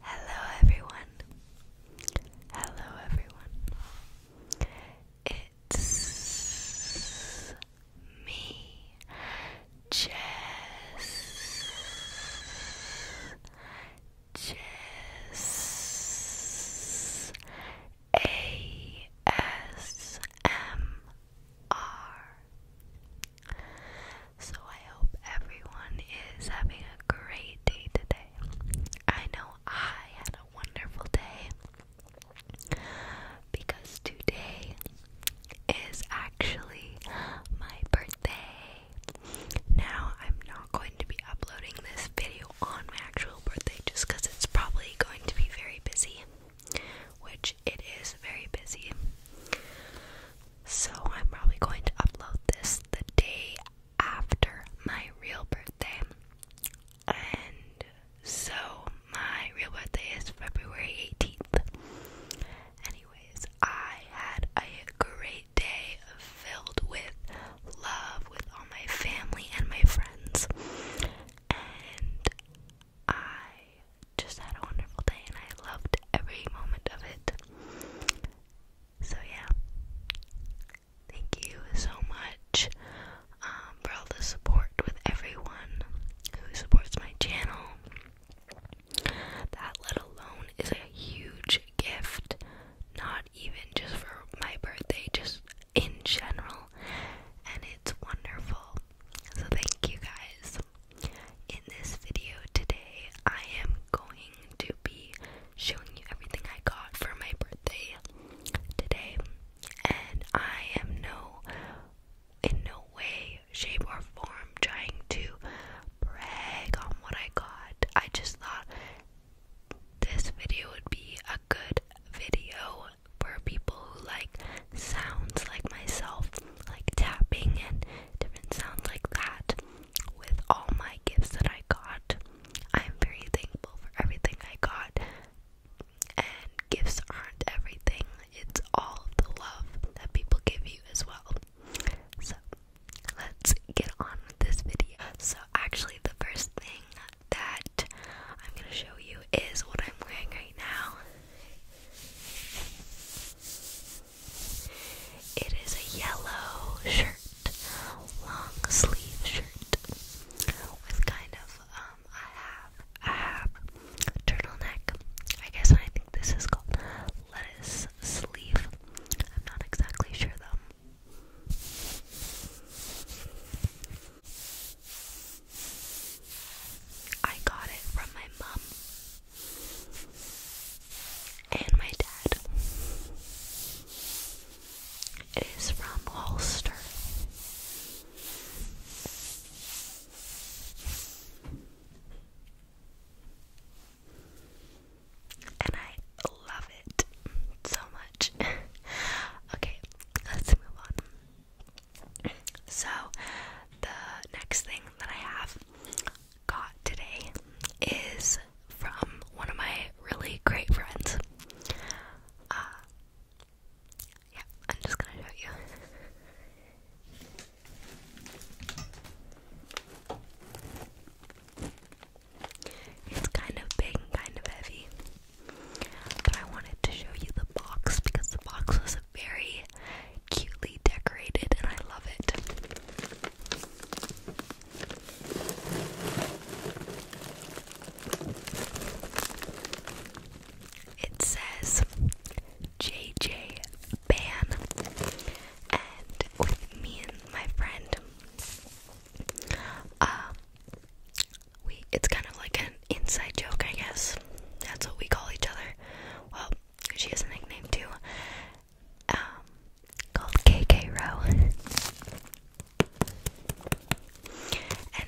Hello everyone. Hello everyone. It's me, Jess. Jess so I hope everyone is having a great day today. I know I had a wonderful day because today is actually my birthday. Now, I'm not going to be uploading this video on my actual birthday just because it's probably going to be very busy, which it is very busy. So I'm probably going to upload this the day after my real birthday. And so my real birthday is February 18th. Anyways, I had a great day filled with love with all my family and my friends. And I just had a wonderful day and I loved every moment of it. So yeah. Thank you so much um, for all the support with everyone who supports my channel. That, let alone, is a huge gift. Not even just for my birthday, just in general. And it's wonderful. So, thank you guys in this video today, I am going to be showing you everything I got for my birthday today. And I am no in no way, shape or form trying to brag on what I got. I just thought this video would be a good video for people who like sounds like myself, like tapping and different sounds like that with all my gifts that I got. I'm very thankful for everything I got. And gifts aren't everything, it's all the love that people give you as well. So, let's get on with this video. So, actually, the first thing that I'm gonna show you is what I'm wearing right now. It is a yellow shirt, long sleeve shirt, with kind of um a half a turtleneck. I guess I think this is called lettuce sleeve. I'm not exactly sure though. I got it from my mom and my dad It is from Holster, And I love it so much. okay, let's move on. So, the next thing that I have got today is from one of my really great friends. Uh, yeah, I'm just gonna show you. It's kind of big kind of heavy. But I wanted to show you the box because the box was very cutely decorated, and I love it. It says JJ Ban, and with me and my friend, uh, we it's kind of like an inside joke, I guess. That's what we call each other. Well, she has a nickname too, um, called KK Row, and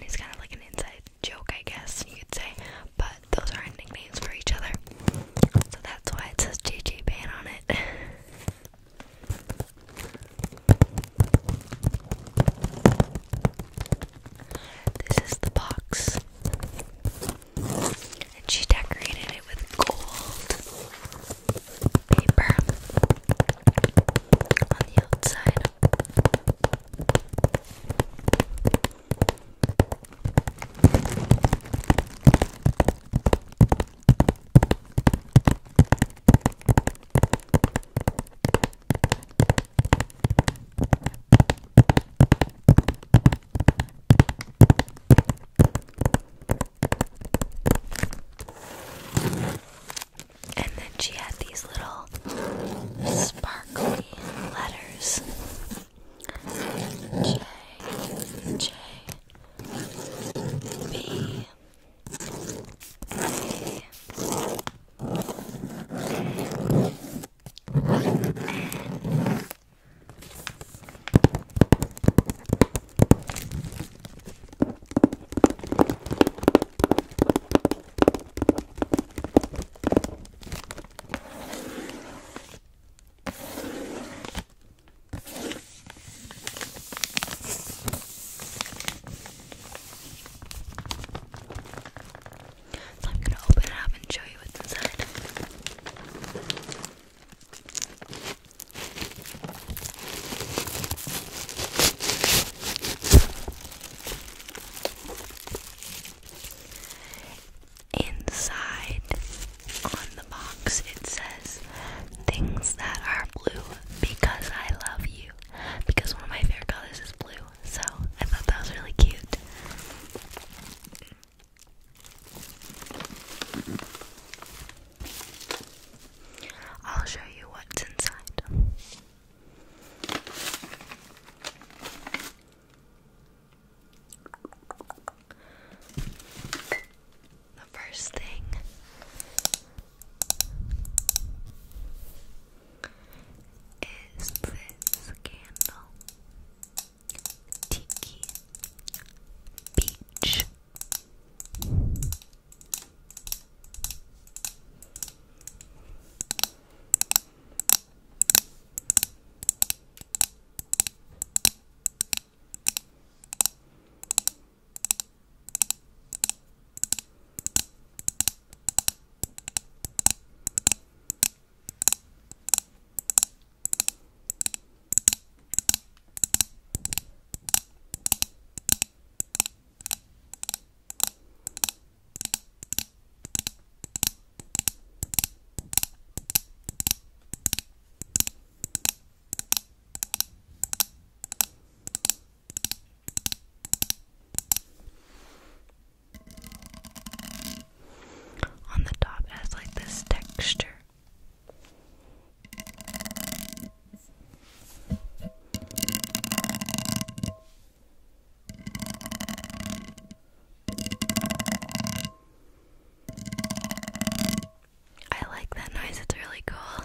it's kind of like an inside joke, I guess you could say. But those are nicknames for each other, so that's why it says JJ Ban on it. This is the box and she decorated it with gold paper on the outside. And then she had these little sparkly letters J, J, B, A, N, so I'm going to open it up and show you what's inside. Inside on the box, it says things that are blue because I love you. Because one of my favorite colors is blue, so I thought that was really cute. I'll show you what's inside. The first thing is this candle. Tiki Beach on the top has like this texture. I like that noise, it's really cool.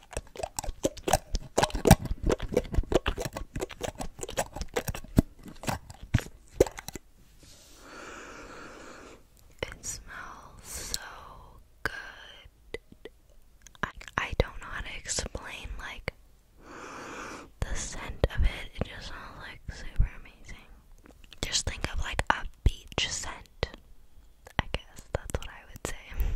It smells so good. I, I don't know how to explain like the scent of it. It just smells like super amazing. Just think of like a beach scent. I guess that's what I would say.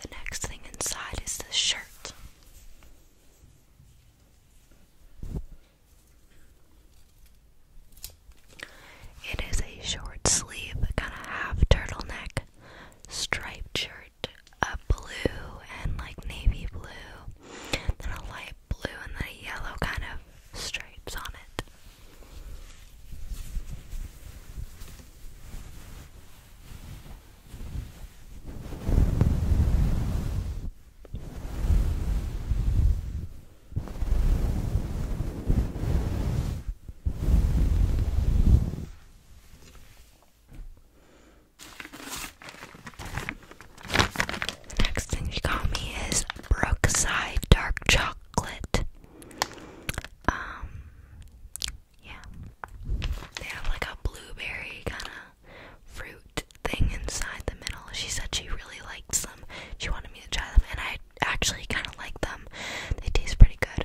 The next thing inside is this shirt. It is a short sleeve, kind of half neck, striped shirt, a blue and like navy blue, then a light blue, and then a yellow kind of stripes on it. Next thing you got me is Brookside Dark Chocolate. Um, yeah. They have like a blueberry kind of fruit thing inside the middle. She said she really liked them. She wanted me to try them, and I actually kind of like them. They taste pretty good.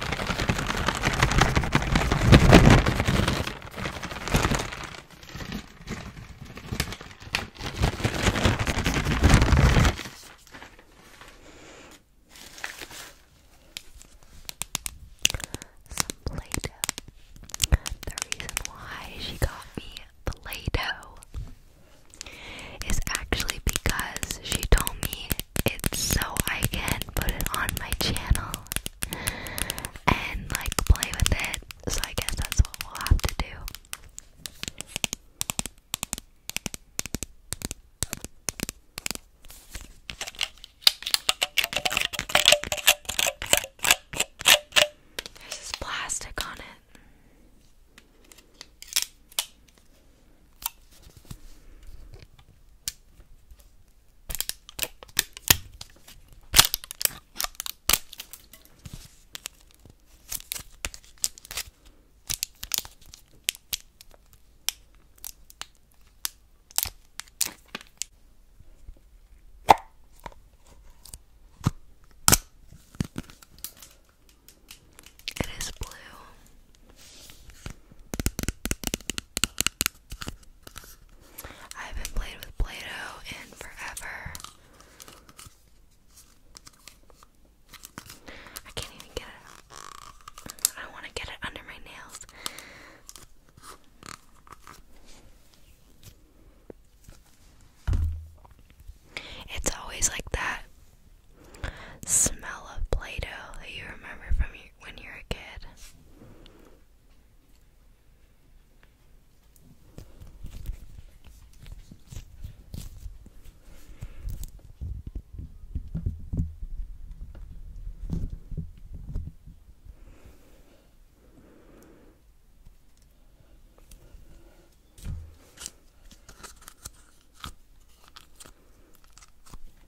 Some Play The reason why she got me Play is actually because she told me it's so I can put it on my channel and like play with it. So I guess that's what we'll have to do. There's this plastic on it. It is blue. I haven't played with Play Doh in forever. I can't even get it I want to get it under my nails. It's always like that smell of Play Doh that you remember from when you were a kid.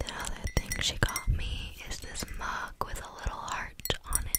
The other thing she got me is this mug with a little heart on it.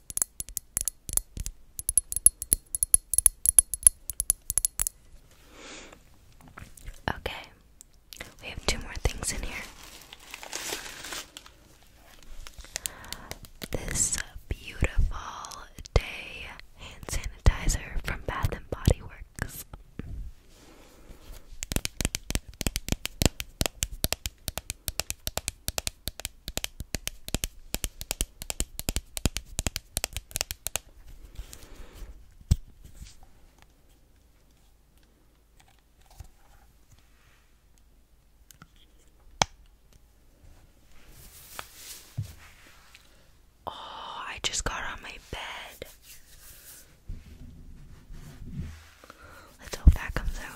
Okay, we have two more things in here. This beautiful day hand sanitizer from Bath and Body Works. Oh, I just got on my bed. Let's hope that comes out.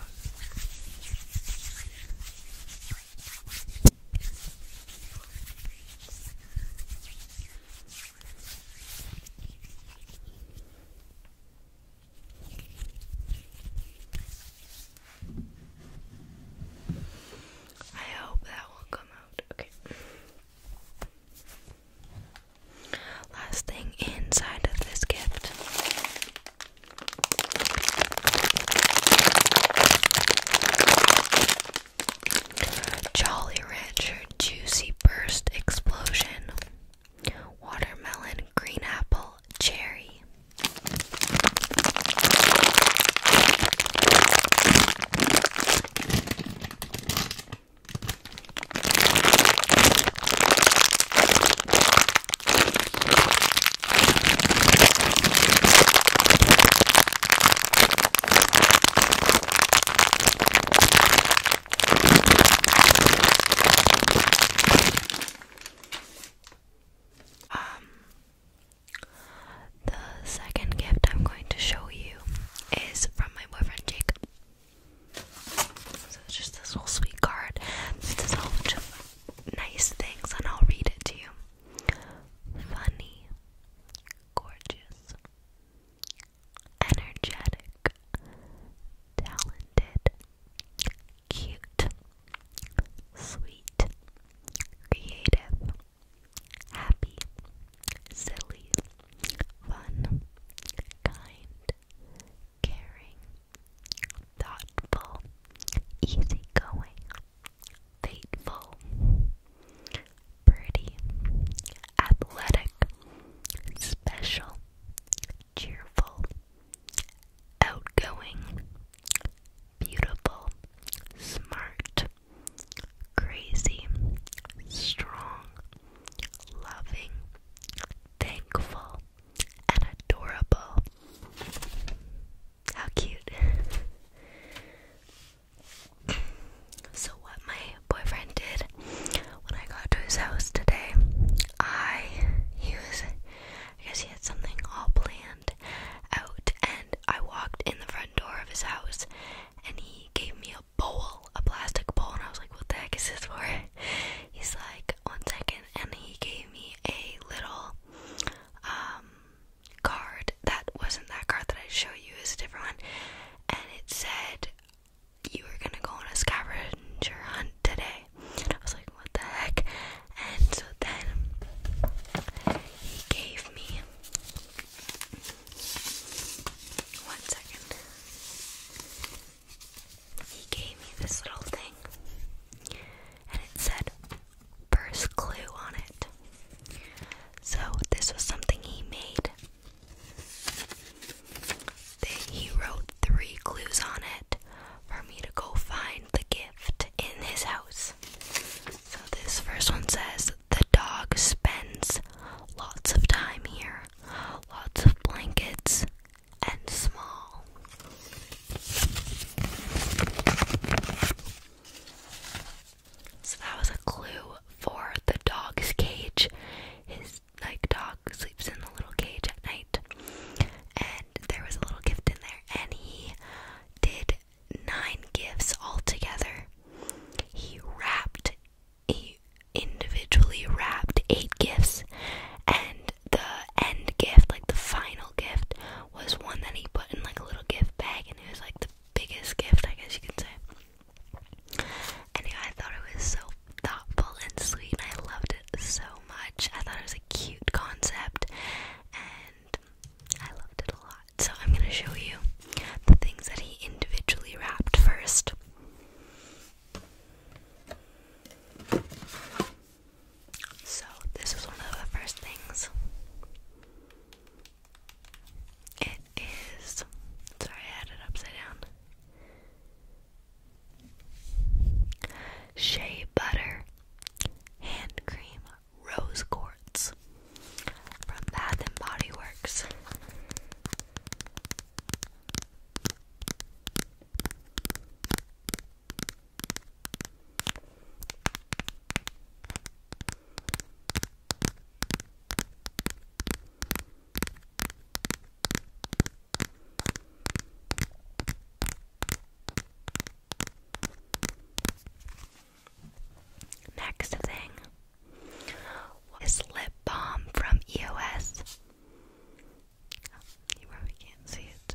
I hope that will come out. Okay. Last thing inside of this gift Jolly Rancher Juicy Burst Explosion Watermelon Green Apple Cherry um, the second gift I'm going to show you is from my boyfriend Jacob. So it's just this little sweet card. It says a whole nice things, and I'll read it to you funny, gorgeous, energetic, talented, cute, sweet, creative, happy, silly, fun, kind, caring, thoughtful, easygoing. Fateful, pretty, athletic, special, cheerful, outgoing, beautiful, smart, crazy, strong, loving, thankful, and adorable. How cute. so, what my boyfriend did when I got to his house today, I, he was, I guess he had something all planned out, and I walked in the front door of his house, and he gave me a bowl, a plastic bowl, and I was like, what the heck is this for? He's like, one second, and he gave me a little, um, card that wasn't that card that I showed you, is a different one, and it said you were gonna go on a scavenger hunt today. And I was like, what the heck? And so then he gave me one second. He gave me this little thing, and it said, first clue on it. So, this was something he made. He wrote three clues on it for me to go find the gift in his house. So, this first one says the dog spends lots of time here, lots of blankets, and small. So that was a clue for the dog's cage. His like dog sleeps in the little cage at night. And there was a little gift in there and he did nine gifts altogether. He wrapped he individually wrapped eight gifts and the end gift, like the final gift, was one that he put in like a little gift bag, and it was like the biggest gift, I guess you could say. And I thought it was so thoughtful and sweet, and I loved it so much. I thought it was a cute concept, and I loved it a lot. So, I'm gonna show you the things that he individually wrapped first. So, this is one of the first things. It is. Sorry, I had it upside down. Shea butter, hand cream, rose quartz from Bath and Body Works. Next thing is lip balm from EOS. You probably can't see it.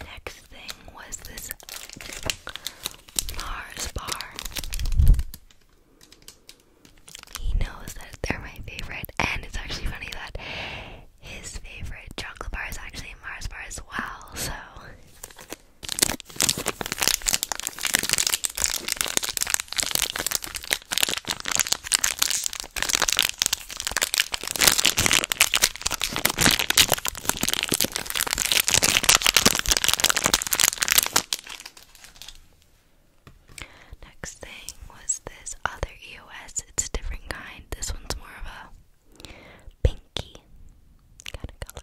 Next thing was this Mars bar. He knows that they're my favorite, and it's actually funny that his favorite chocolate bar is actually a Mars bar as well, so. Next thing was this other EOS. It's a different kind. This one's more of a pinky kind of color.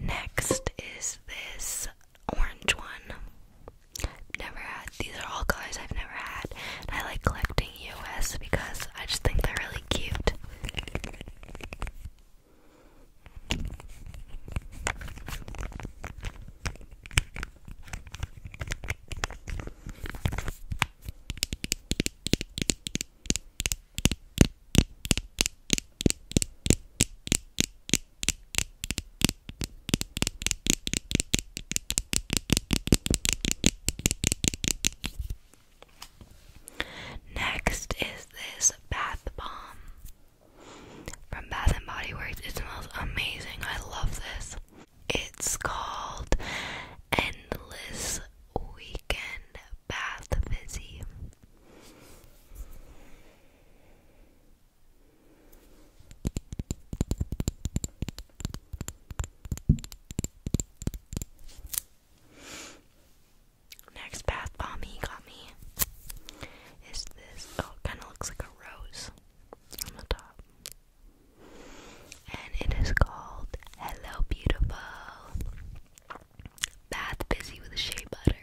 Next is this orange one. Never had these are all colors I've never had. I like collecting US because I just think they're really cute. Next is this bath bomb from Bath and Body Works. It smells amazing. I love this. It's called Endless Week. Weekend Bath Fizzy. Next bath bomb got me is this. Oh, kind of looks like a rose on the top. And it is called Hello Beautiful. Bath Busy with Shea Butter.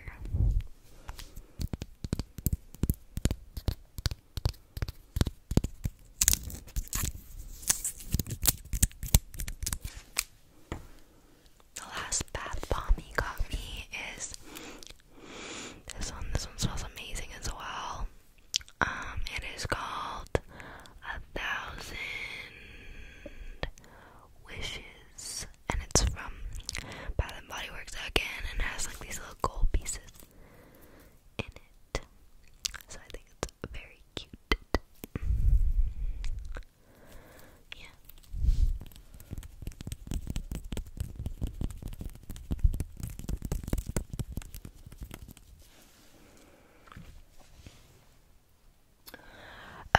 The last bath bomb he got me is this one. This one smells amazing as well. Um, it is called a thousand wishes, and it's from Bath and Body Works again, and has like these little gold pieces in it. So I think it's very cute. Yeah.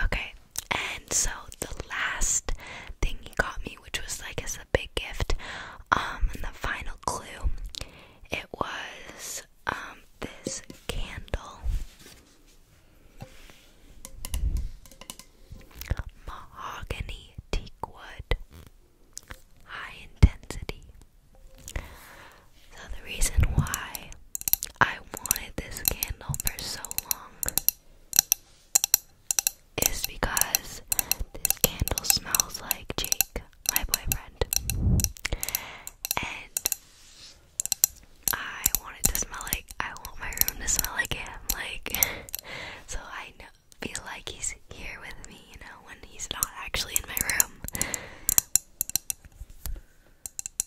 Okay, and so the last thing he got me, which was like as a big gift, um, and the final clue, it was um this candle. Mahogany teak wood. High intensity. So the reason why I wanted this candle for so long is because this candle smells like Jake, my boyfriend. And I want it to smell like I want my room to smell like him, like so I know feel like he's here with me, you know, when he's not actually in my room.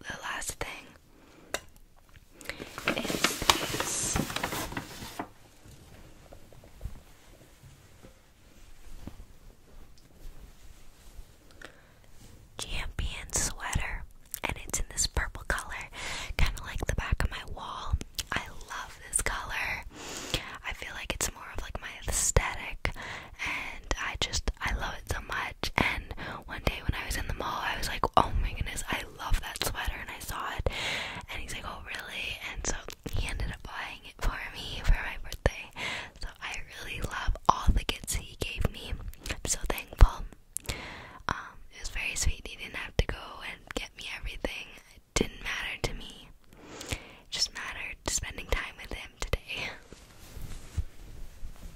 the last thing is this. Champion sweater, and it's in this purple color, kind of like the back of my wall. I love this color. I feel like it's more of like my aesthetic, and I just I love it so much. And one day when I was in the mall, I was like, oh my goodness, I love that sweater and I saw it and he's like, Oh really? And so he ended up buying it for me for my birthday. So I really love all the gifts he gave me. I'm so thankful. Um, it was very sweet. He didn't have to go and get me everything. It didn't matter to me. It just mattered spending time with him today.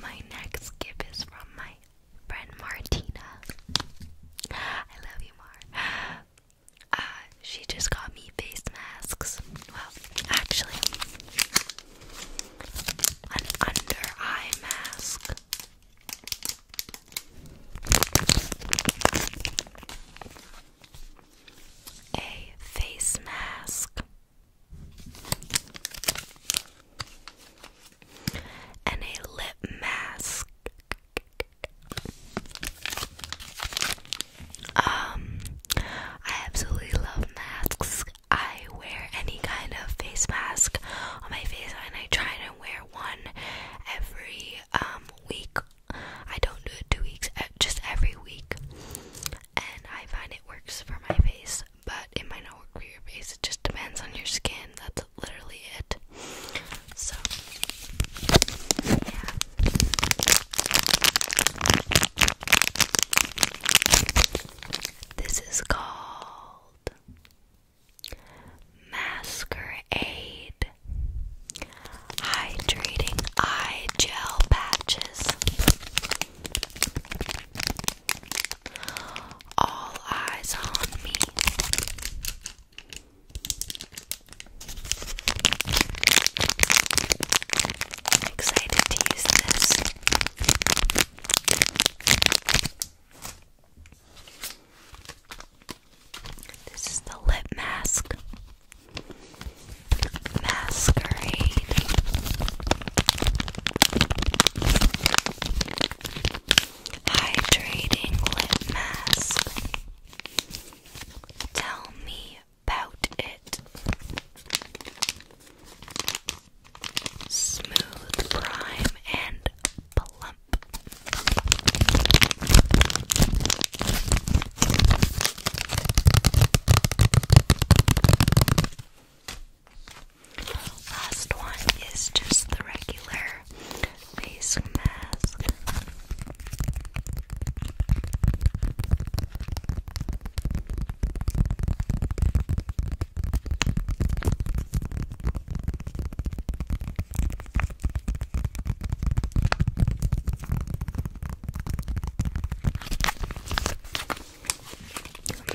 My next gift is from my friend Martina. I love you, Mar. Uh, she just got me face masks. Well, actually, an under eye mask. A face mask and a lip mask. Um, I absolutely love masks. I wear any kind of face mask on my face, and I try to wear one every um, week. I don't do it two weeks, just every week, and I find it works for my face but it might not work for your face. It just depends on your skin. That's literally it. So, yeah. This is called Masquerade Hydrating Eye Gel Patches. All eyes on me. excited to use this. This is the lip mask. Masquerade. Hydrating lip mask. Tell me about it. Smooth prime and plump. Last one is just the regular face mask.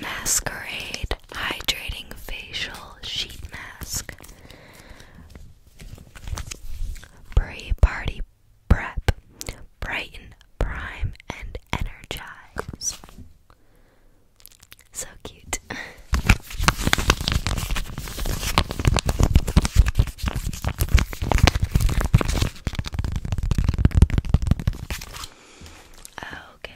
Masquerade Hydrating Facial Sheet Mask. Pre Party Prep. Brighten, Prime, and Energize. So cute. Okay.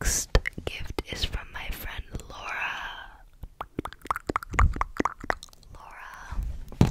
This next gift is from my friend Laura. Laura.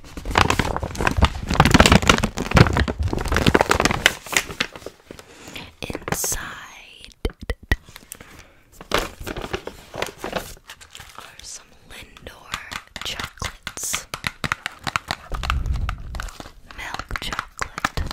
Inside are some Lindor chocolates, milk chocolate.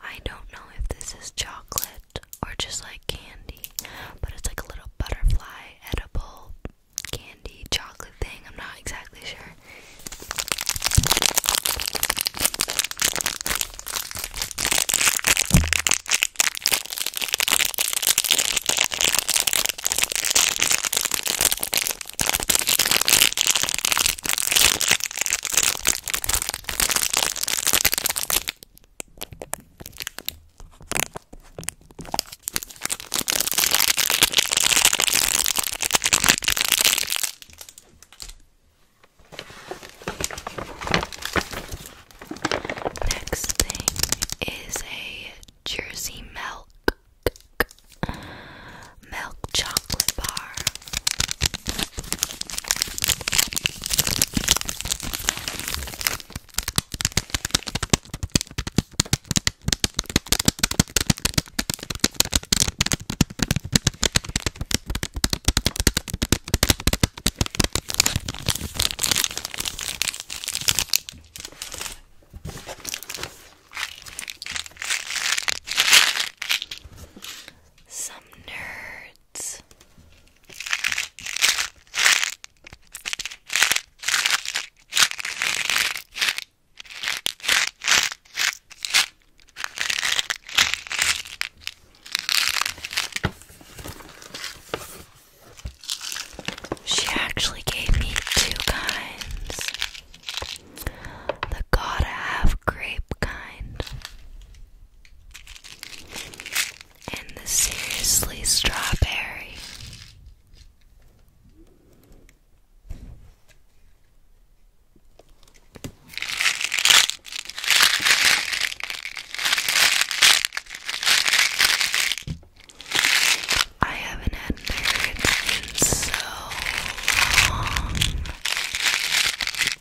I don't know if this is chocolate or just like candy, but it's like a little butterfly edible candy chocolate thing. I'm not exactly sure. Next thing is a Jersey milk milk chocolate. Some nerd she actually gave me two kinds the gotta grape kind and the seriously strawberry. I haven't had nerds in so long.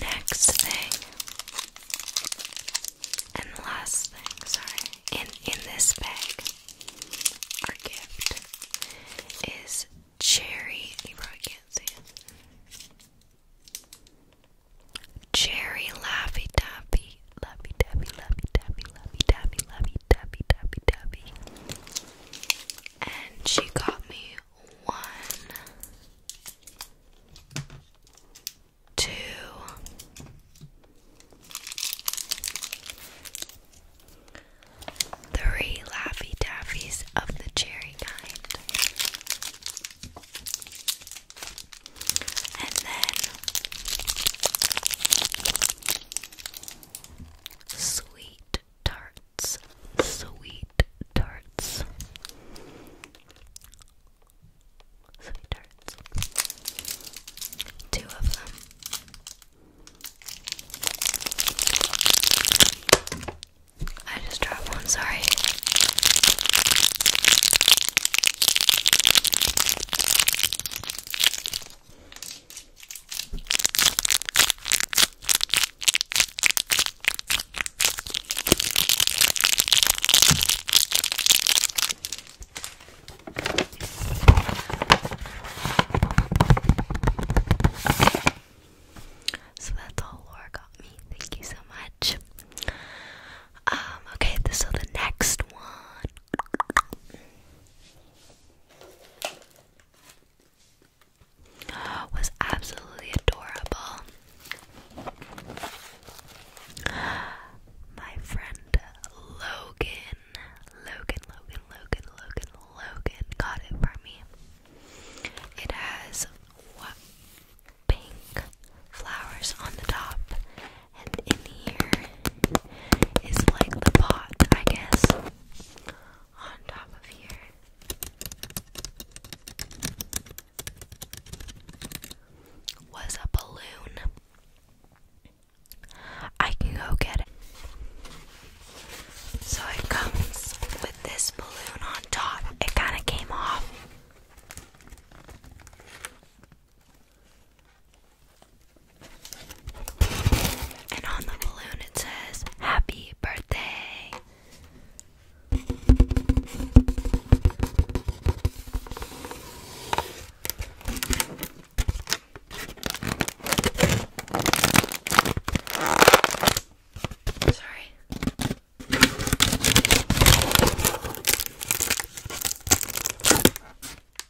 Next thing and last thing, sorry, in in this bag, our gift is cherry. You can't see it. Cherry laffy taffy, laffy taffy, laffy taffy, laffy taffy, laffy taffy, taffy taffy and she got me one, two, three Laffy Taffies of the cherry kind. And then Sweet tarts. Sweet tarts. Sweet tarts. Two of them. I just dropped one, sorry. So that's all Laura got me. Thank you so much. Um, okay, so the next one was absolutely adorable. My friend Logan, Logan, Logan, Logan, Logan, Logan got it for me. It has pink flowers on the top, and in here is like the pot, I guess on top of here. Was a balloon. I can go get it. So it comes with this balloon on top. It kind of came off. And on the balloon it says, Happy Birthday. Sorry.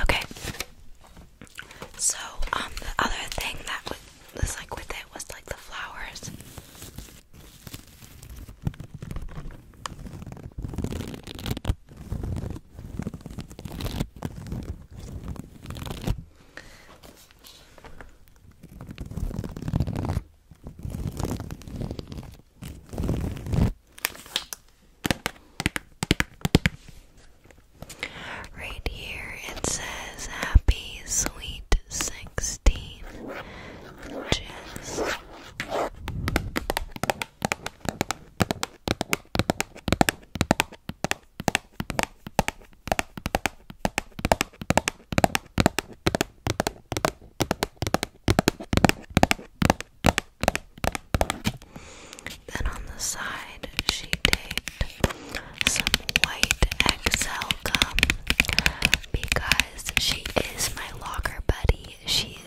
Okay. So, um, the other thing that was like with it was like the flowers. Right here it says happy sweet sixteen. Then on the side, she taped some white Excel gum because she is my locker buddy she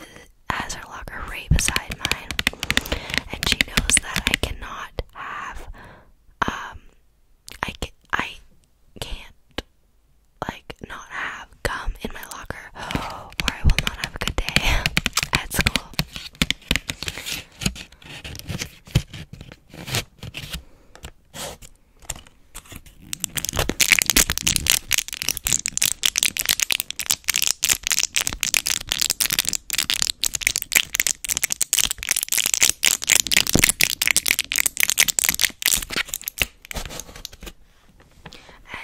has her locker right beside mine, and she knows that I cannot have um I I can't like not have gum in my locker, or I will not have a good day at school.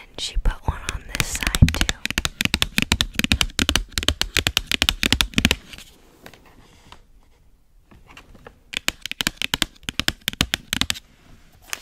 And she put one on this side too. The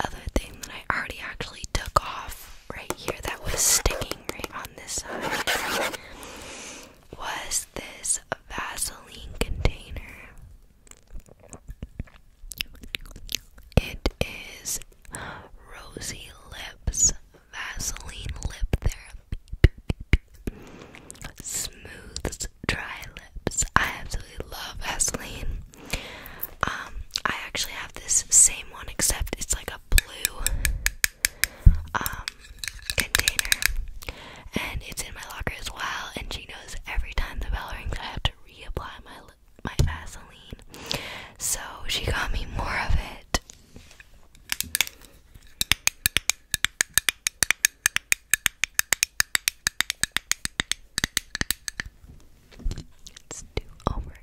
other thing that I already actually took off right here that was sticking right on this side was this Vaseline container. It is Rosy Lips Vaseline Lip Therapy. Smooths dry lips. I absolutely love Vaseline. Um, I actually have this same one except it's like a blue um, container, and it's in my locker as well. And she knows every time the bell rings, I have to reapply my my Vaseline. So she got me more of it. It's too overexposed.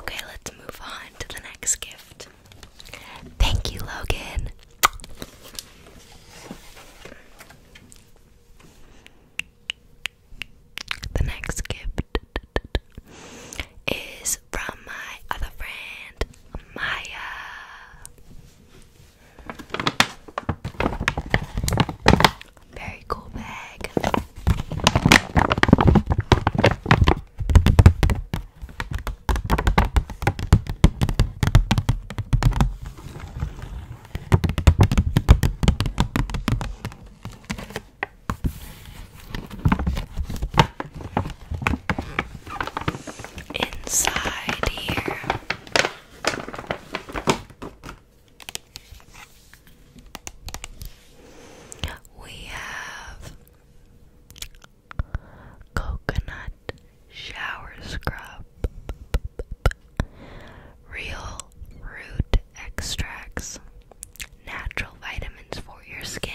Okay, let's move on to the next gift. Thank you, Logan. The next gift is from my other friend, Maya. Very cool bag. Inside here we have coconut shower scrub, real root extracts, natural vitamins for your skin.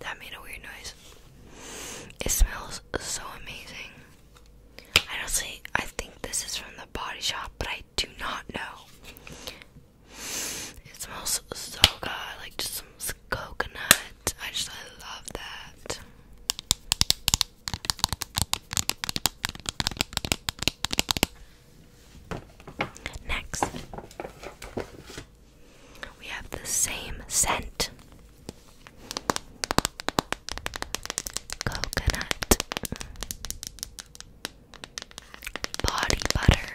That made a weird noise. It smells so amazing. I don't see. I think this is from the body shop, but I do not know. It smells so good, like just some coconut. I just love that. Next, we have the same scent. Coconut body butter.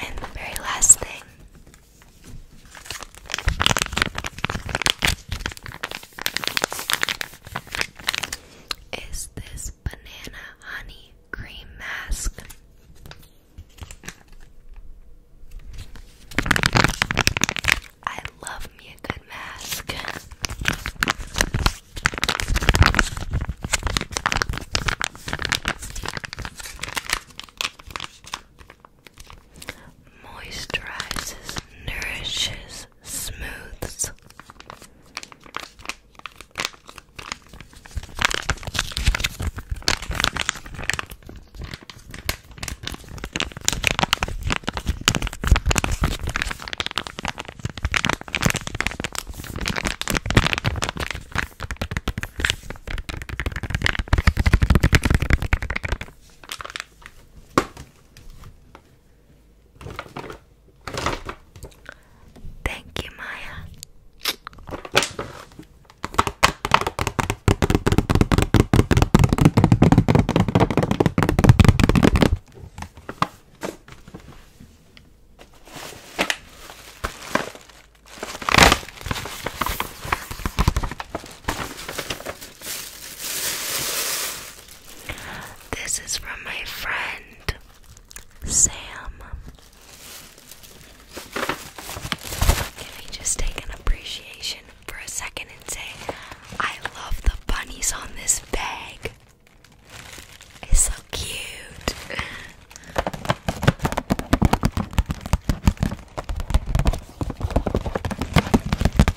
And the very last thing is this banana honey cream mask. I love me a good mask. Moisturizes, nourishes, smooths. Thank you, Maya. This is from my friend Sam. Can we just take an appreciation for a second and say, I love the bunnies on this bag? It's so cute.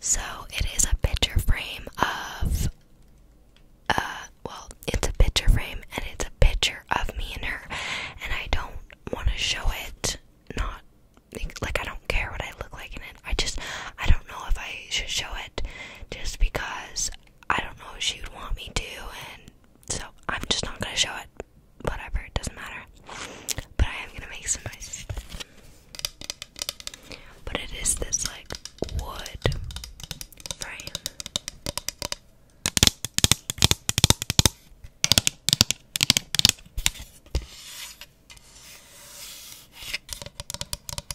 So it is a picture frame of uh, well it's a picture frame and it's a picture of me and her and I don't want to show it not like I don't care what I look like in it. I just I don't know if I should show it just because I don't know if she would want me to and so I'm just not gonna show it. Whatever, it doesn't matter. But I am gonna make some noises. But it is this like wood frame.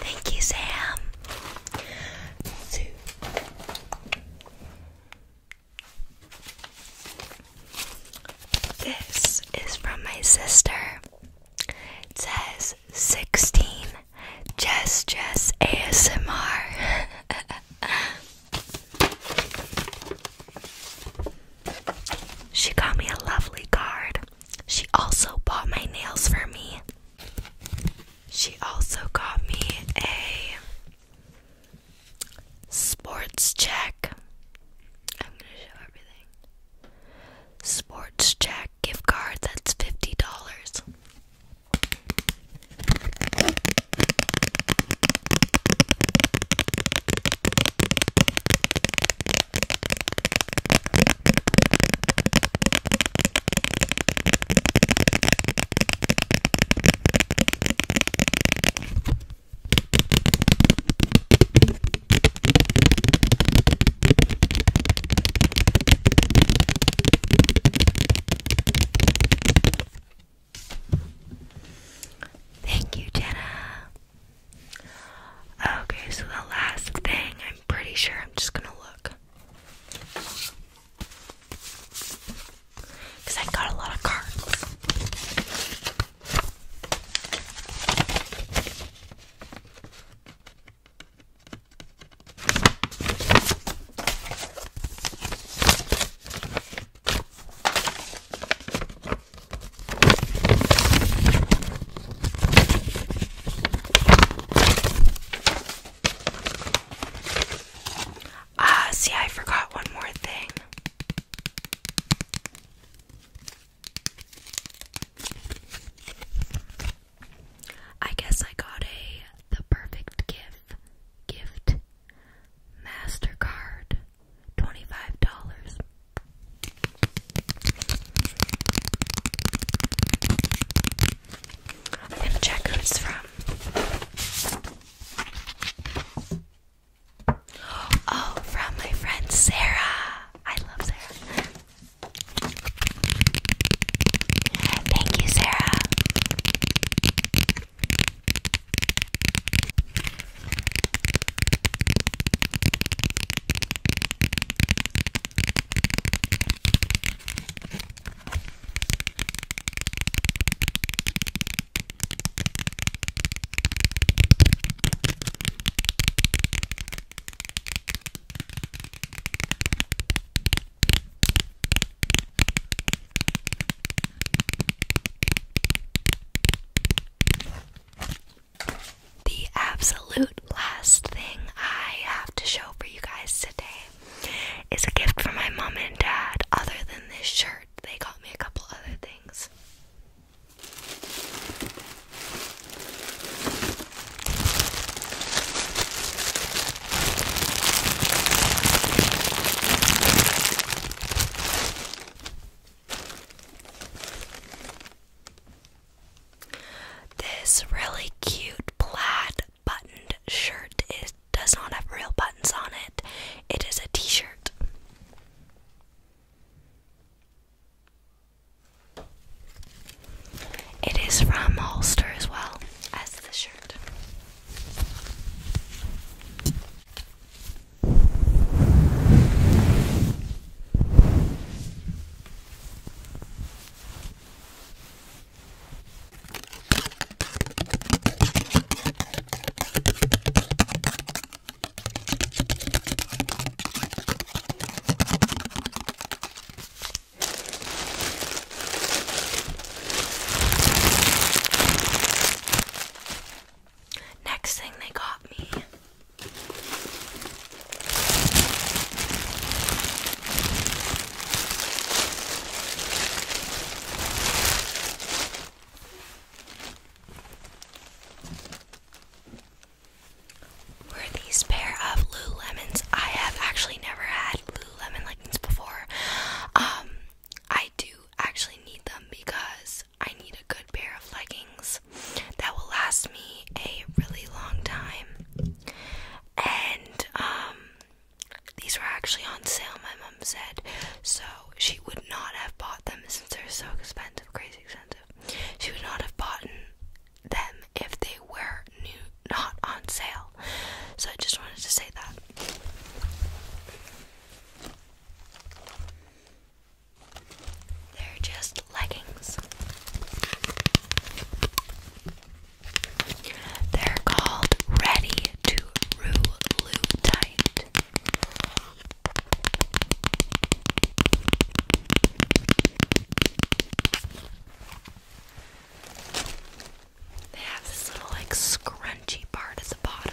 Thank you, Sam. This is from my sister. It says 16 Jess Jess ASMR. she got me a lovely card. She also bought my nails for me. She also got me a sports check. I'm going to show everything. Sports check gift card that's $50. Thank you, Jenna. Okay, so the last thing, I'm pretty sure I'm just gonna look. Because I got a lot of cards. Ah, see, I forgot one more thing. I guess I got a the perfect gift gift Mastercard $25. I'm gonna check who it's from. Oh, from my friend Sarah. I love Sarah. Thank you, Sarah. The absolute last thing I have to show for you guys today is a gift from my mom and dad. Other than this shirt, they got me a couple other things. This really cute plaid buttoned shirt is does not have real buttons on it. It is a t-shirt. It is from Holster as well as the shirt. Next thing they got me were these pair of Lululemons? I have actually never had Lululemon leggings before. Um, I do actually need them because I need a good pair of leggings that will last me a really long time and um, these were actually on sale my mom said so she would not have bought them since they're so expensive crazy expensive she would not have bought them if they were new not on sale so i just wanted to say that they're just leggings they're called Ready to Rulutite. They have this little like scrunchy part at the bottom.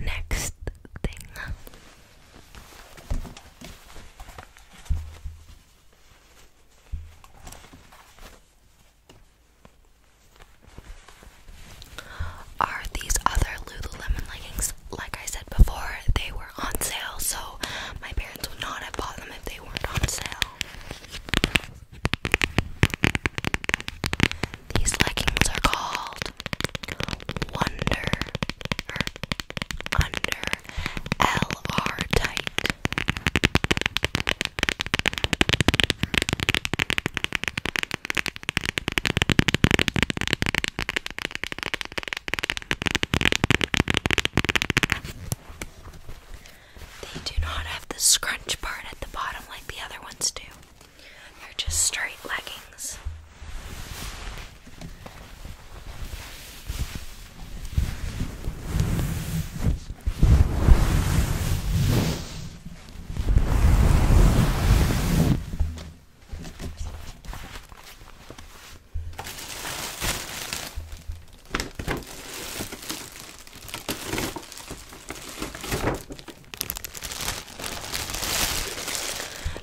Next thing. Are these other Lululemon leggings? Like I said before, they were on sale, so my parents would not have bought them if they weren't on sale. These leggings are called Wonder or er, Under LR Tight. They do not have the scrunch part at the bottom like the other ones do. They're just straight leggings.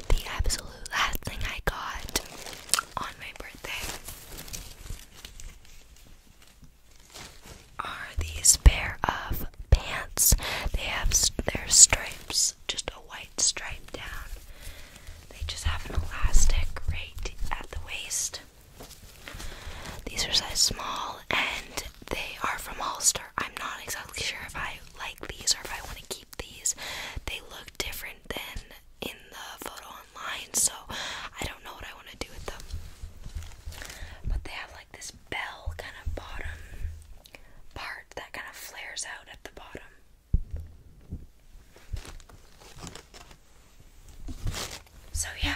The absolute last thing I got on my birthday are these pair of pants. They have their stripes, just a white stripe down. They just have an elastic right at the waist. These are size small and they are from Hollister. I'm not exactly sure if I like these or if I want to keep these. They look different than in the photo online, so I don't know what I want to do with them. But they have like this bell kind of bottom part that kind of flares out at the bottom. So, yeah,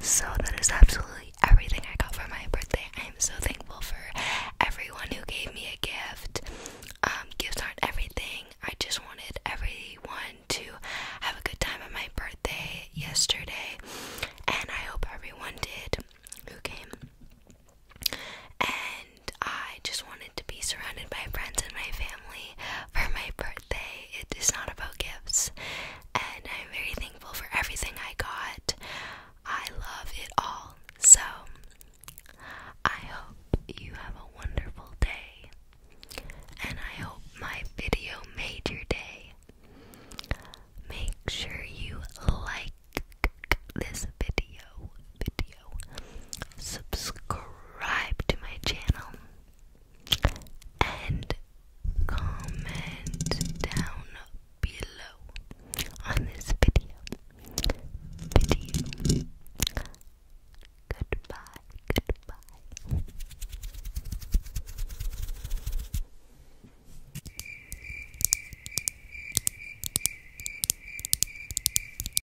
So that is absolutely everything I got for my birthday. I am so thankful for everyone who gave me a gift. Um, gifts aren't everything. I just wanted everyone to have a good time on my birthday yesterday, and I hope everyone did who came. I just wanted to be surrounded by friends and my family for my birthday. It is not about gifts, and I'm very thankful for everything I got. I love it all. So, I hope you have a wonderful day, and I hope my video made your day. Make sure you like this video, subscribe to my channel, and comment down below on this video. Video. Goodbye. Goodbye.